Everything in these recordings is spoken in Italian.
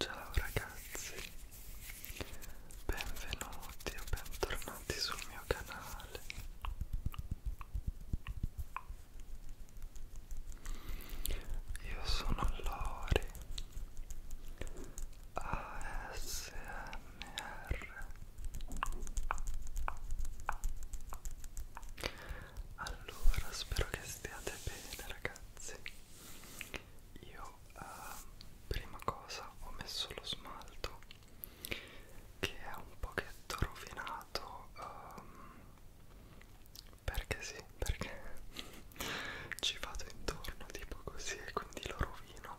Ciao ragazzi, benvenuti o bentornati sul mio canale. Io sono Lori ASMR allora, spero che stiate bene ragazzi. Io eh, prima cosa ho messo lo smalto che è un pochetto rovinato um, perché sì, perché ci vado intorno tipo così e quindi lo rovino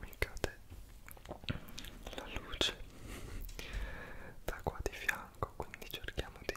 mi cade la luce da qua di fianco quindi cerchiamo di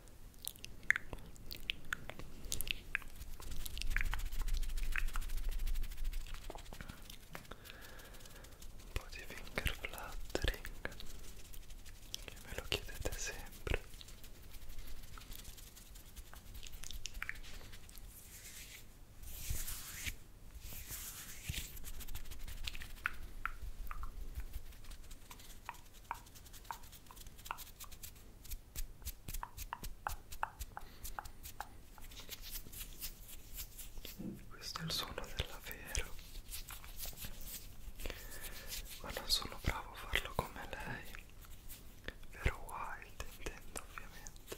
un po' di finger fluttering che me lo chiedete sempre questo è il suono dell'avvero. Ma non sono bravo a farlo come lei. Vero wild intendo ovviamente.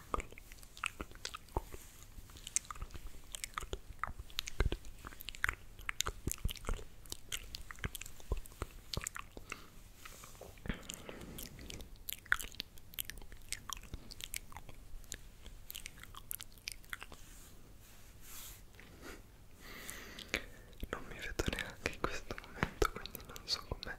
Non mi vedo neanche in questo momento, quindi non so come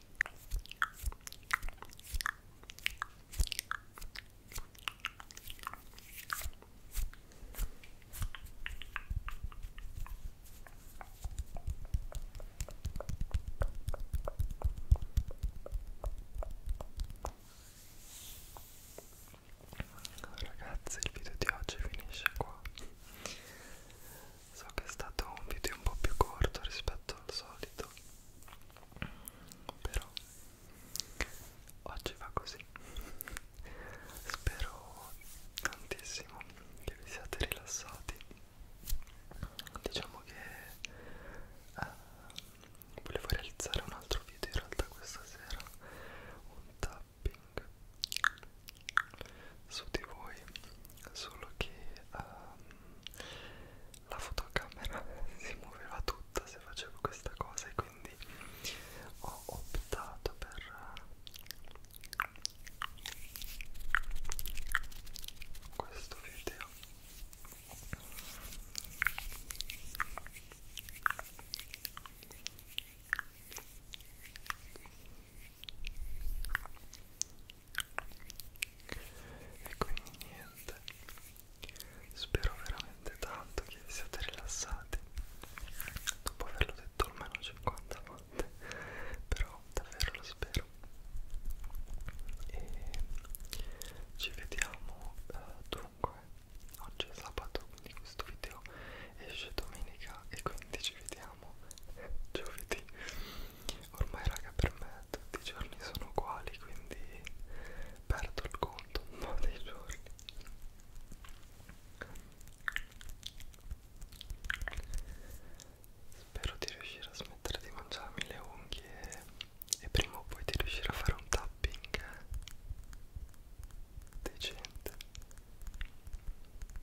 Ragazzi il video di oggi finisce qua so che è stato un video un po' più corto rispetto al solito però oggi va così spero tantissimo che vi siate rilassati diciamo che eh, volevo realizzare un altro video in realtà questa sera un tapping su di voi solo che um, la fotocamera si muoveva tutta se facevo questa cosa e quindi ho optato per questo video e quindi niente spero veramente tanto che vi siate rilassati dopo averlo detto almeno 50 volte però davvero lo spero e ci vediamo eh, dunque oggi è sabato quindi questo video esce domenica e quindi ci vediamo siamo giovedì ormai raga per me tutti i giorni sono uguali quindi perdo il conto un po' dei giorni spero di riuscire a smettere di mangiarmi le unghie e prima o poi di riuscire a fare un tapping eh. decente